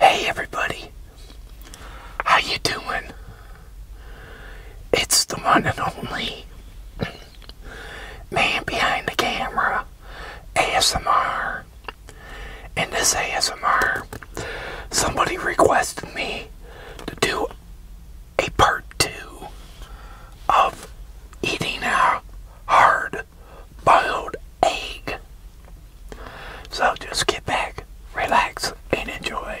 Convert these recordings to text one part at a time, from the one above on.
Hey everybody, how you doing? It's the one and only man behind the camera, ASMR. And this ASMR, somebody requested me to do a part two of eating out hard boiled egg. So just get back, relax, and enjoy.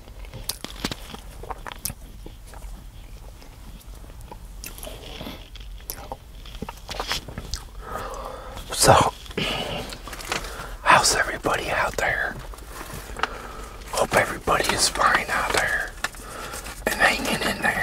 So, how's everybody out there? Hope everybody is fine out there and hanging in there.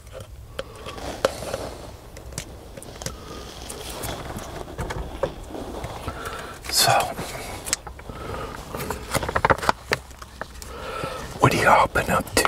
So, what are y'all up to?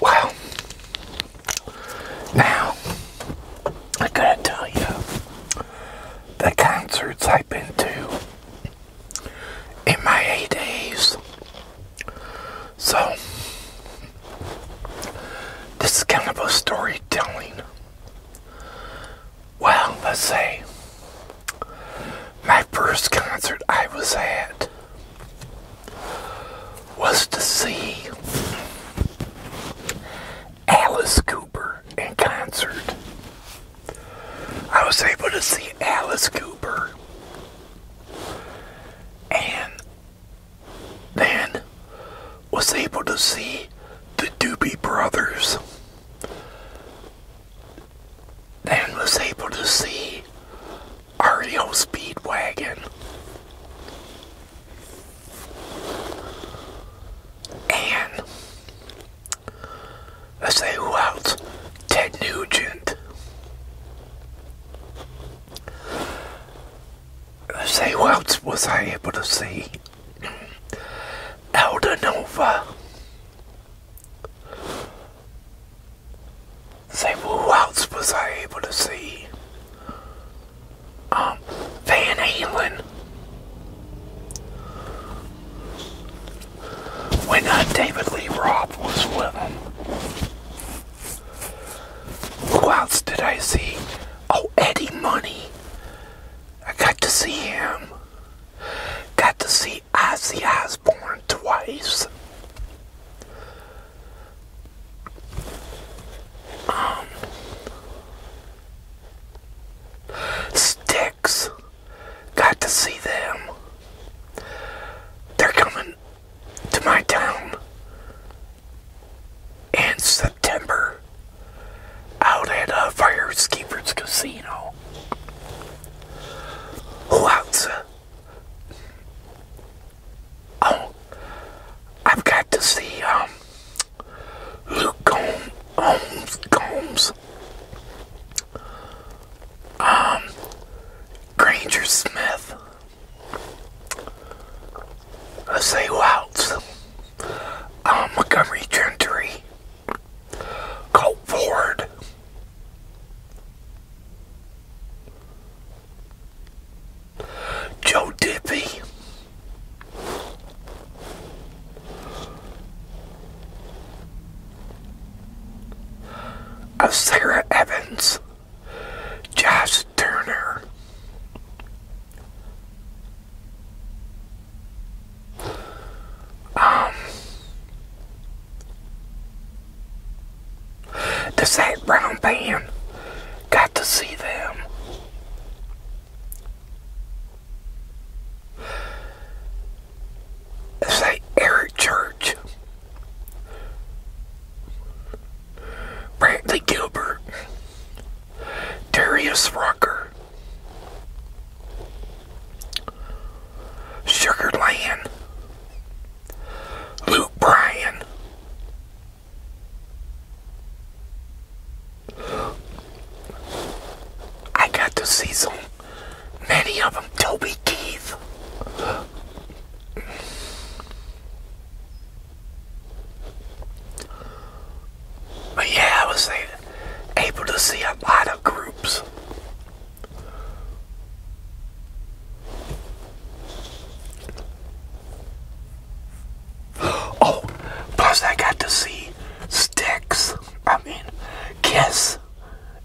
Wow. Now, I gotta tell you, the concerts I've been to in my eight days. So, this is kind of a storytelling. Well, let's see my first concert I was at was to see Alice Cooper in concert. I was able to see Alice Cooper and then was able to see the Doobie Brothers then was able to see REO Speedwagon and let's say who else? Ted Nugent. Let's say who else was I able to see? Elda Say, who else was I able to see? Um, Van Halen. When uh, David Lee Roth was with him. Who else did I see? Oh, Eddie Money. I got to see him. Got to see Ozzy Osbourne twice. Um, Sticks, got to see them. They're coming to my town in September out at uh, Firekeeper's Casino now. Oh, I've got to see um, Luke Combs, Combs, um, Granger Smith. I say who else? Um, Montgomery Gentry. Go forward. Joe Dippy, Sarah Evans, Josh Turner, um, the Zach Brown band got to see them. St. Eric Church, Brantley Gilbert, Darius Rucker, Sugar Land, Luke Bryan, I got to see some, many of them. Toby Keith. But yeah, I was able to see a lot of groups. Oh, plus I got to see Sticks, I mean, Kiss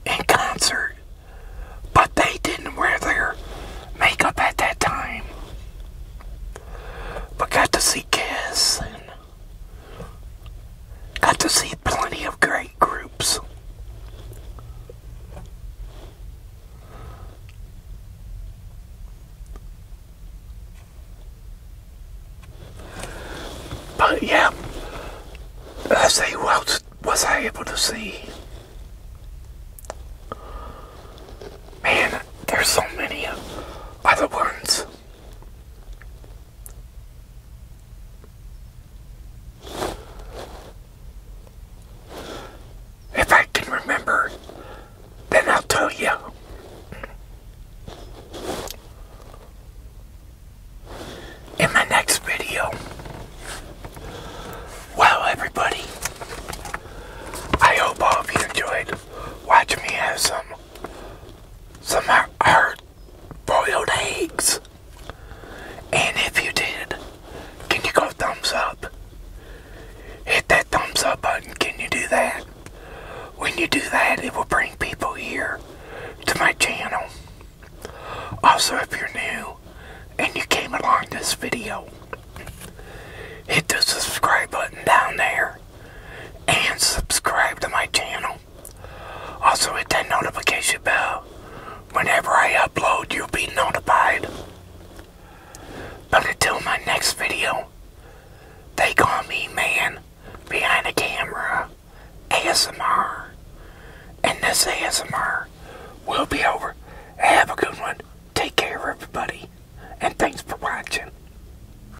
in concert, but they didn't wear their makeup at that time. But got to see Kiss and Got to see plenty of great groups. But yeah, I say, who was I able to see? Man, there's so many other ones. If I can remember, then I'll tell you. In my next video. Well, everybody, I hope all of you enjoyed watching me have some some hard boiled eggs. And if you did, can you go thumbs up? Hit that thumbs up button. Can you do that? When you do that, it will bring people here to my channel. Also, if you're new and you came along this video, hit the subscribe button down there and subscribe to my channel. Also hit that notification bell. Whenever I upload, you'll be notified. But until my next video, they call me man behind the camera ASMR. And this ASMR will be over. Have a good one. Take care, everybody. And thanks for watching.